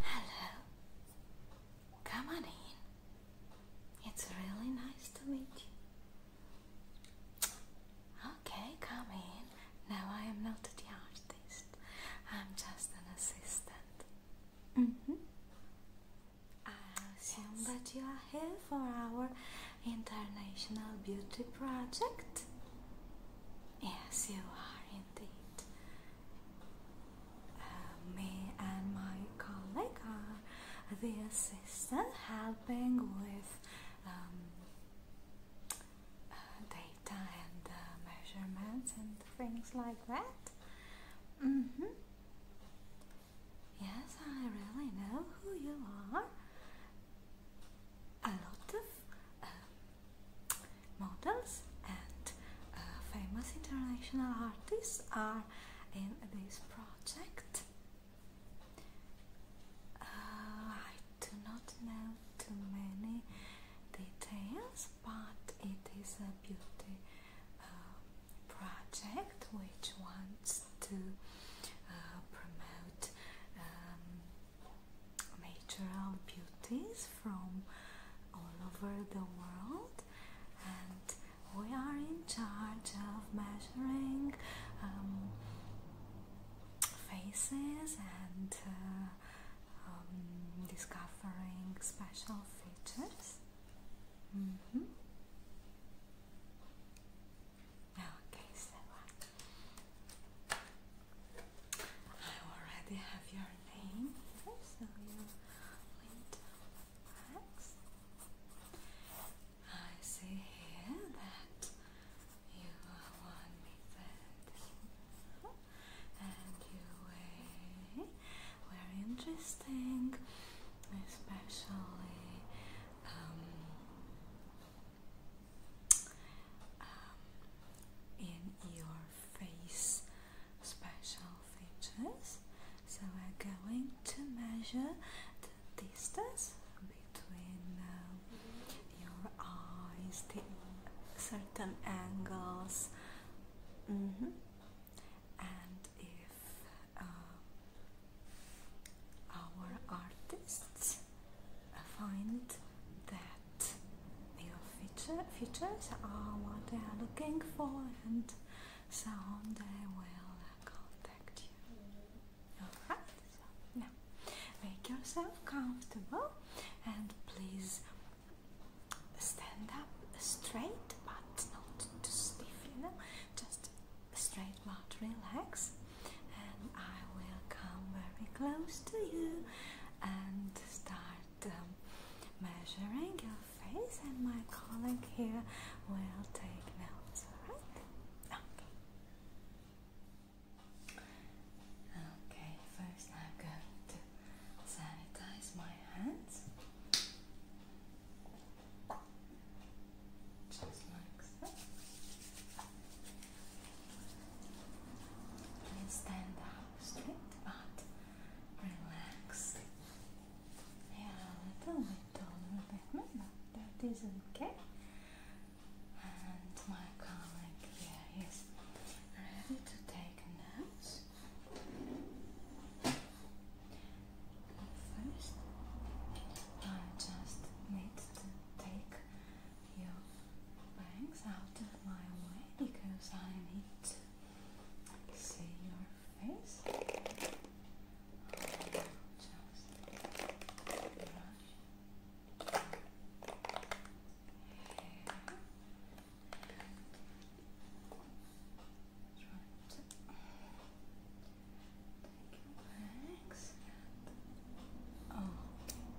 Hello. Come on in. It's really nice to meet you. Okay, come in. No, I am not the artist. I'm just an assistant. Mm -hmm. I assume that you are here for our international beauty project. Yes, you are indeed. Uh, me and my colleague are the assistant helping with um, uh, data and uh, measurements and things like that. Mm -hmm. Yes, I really know who you are a lot of uh, models and uh, famous international artists are in this project. Uh, I do not know too many details, but it is a beauty project which wants to promote um, natural beauties from all over the world and we are in charge of measuring um, faces and uh, um, discovering special features. Mm-hmm okay, so uh, I already have your name so you went I see here that you are one of meter and you weigh very interesting, especially um, um, in your face special features. So we're going to measure the distance between uh, your eyes, the certain angles. Mm-hmm. And if uh, our artists I find that your feature, features are what they are looking for and soon they will contact you. Alright, so now make yourself comfortable and please stand up straight but not too stiff, you know, just straight out, relax, and I will come very close to you and start um, measuring your face. And my colleague here will take notes. All right? Okay. Okay. First, I'm going to sanitize my hands just like so. stand up straight but relax. Yeah, a little bit taller than me, but that is okay. And my colleague here is ready to take notes. First, I just need just take your bangs out of my way because I need to see your face. just brush hair Relax. Okay,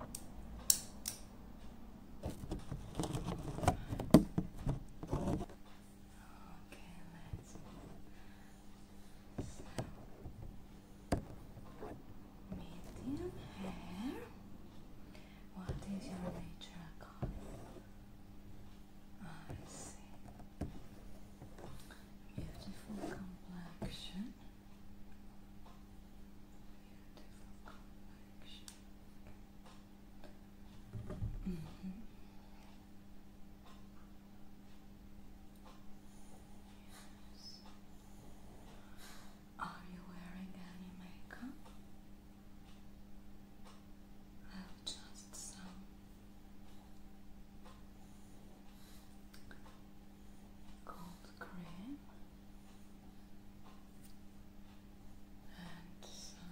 medium hair. What is your nature color? I see. Beautiful complexion. Beautiful complexion. Are you wearing any makeup? I have just some gold green and some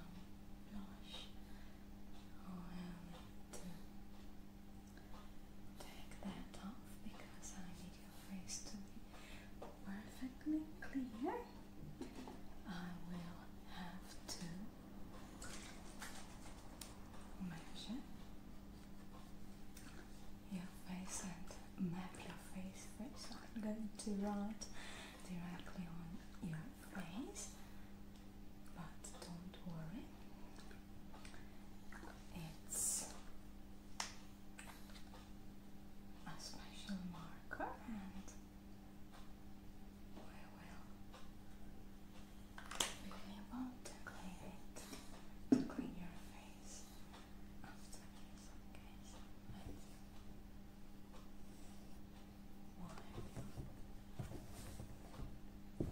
blush and oh, uh, take that off because I need your face to be perfectly clear I will have to Measure your face and map your face first. I'm going to write directly on your face, but don't worry, it's a special marker and well, well. want to clean it. Clean your face okay? So Why? Face. And, and,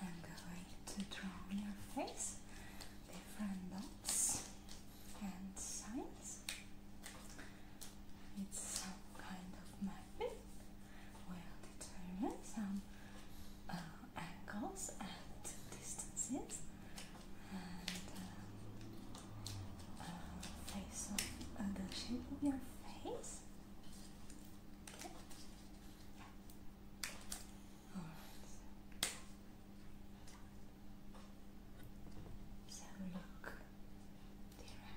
I'm going to draw on your face different dots and signs. It's some kind of mapping. We'll determine some angles and distances and uh, uh, face of uh, the shape of your face. All right. So look directly at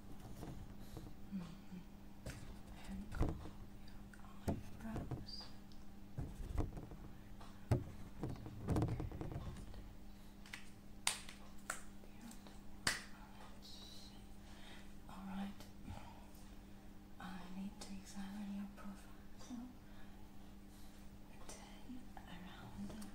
Mm -hmm. And comb your eyebrows. Alright. I need to examine your profile. So turn around.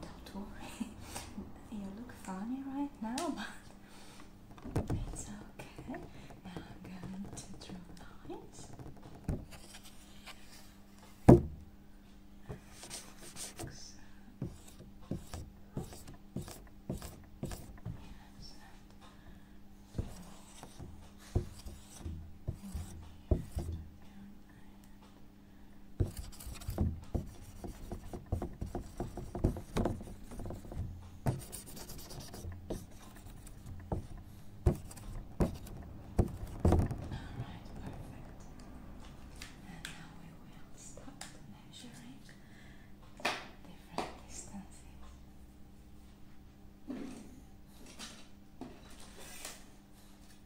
Don't worry, you look funny right now, but it's okay. Now I'm going to draw lines. And now we will start measuring different distances.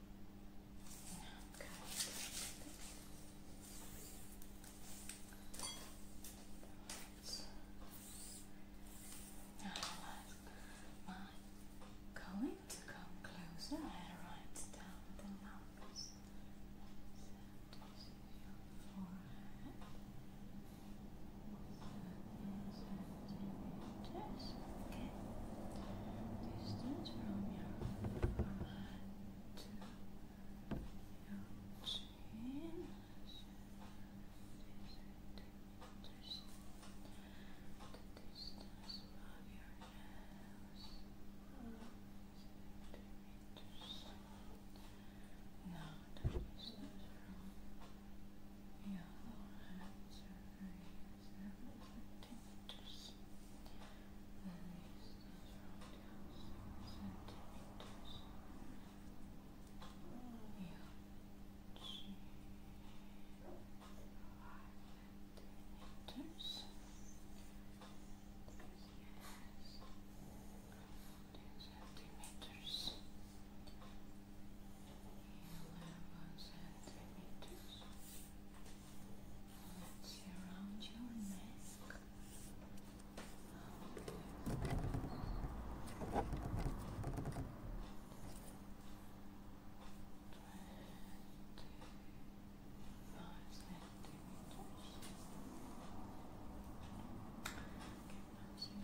Now i going to come closer and down the numbers that is your forehead. Just, okay. Distance from your forehead to your chin. Just the distance of your nose. Now the distance from your forehead to your centimeters. Very distance from the house, centimeters. Yeah. G five centimeters. Yes. Ten centimeters. Yes centimeters. Let's around your neck. Twenty-five centimeters. Okay, now see, this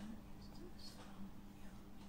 from your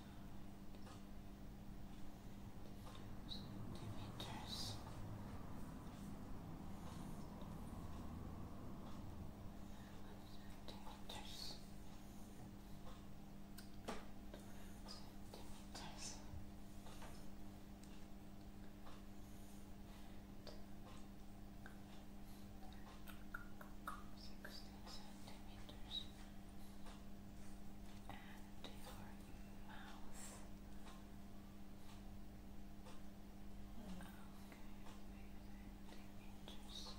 centimeters. Centimeters. Centimeters. Sixteen centimeters and your mouth. Okay, inches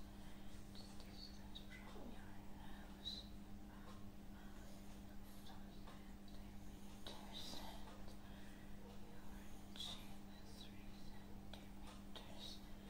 distance from your nose. So centimeters your chin is three centimeters.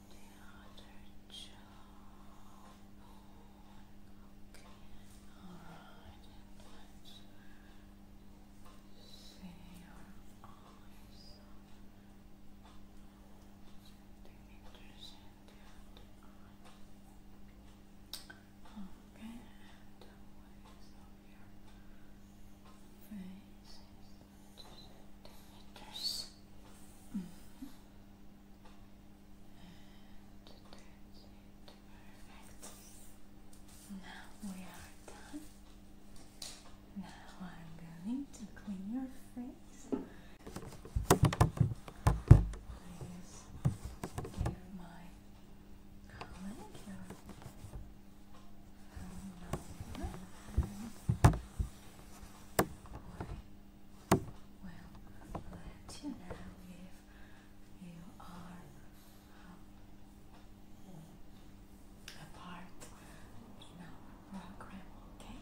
other jaw. Okay, alright, see your eyes. Centimeters and the eye. Okay, the ways of your face is centimeters. Mm -hmm. Perfect. Now we are done. Now I'm going to clean your face. Please give my colleague your will let you know if you are um, a part okay?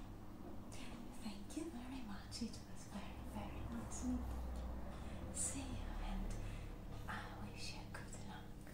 Thank you very much. It was very, very nice meeting you. See you and I wish you good luck.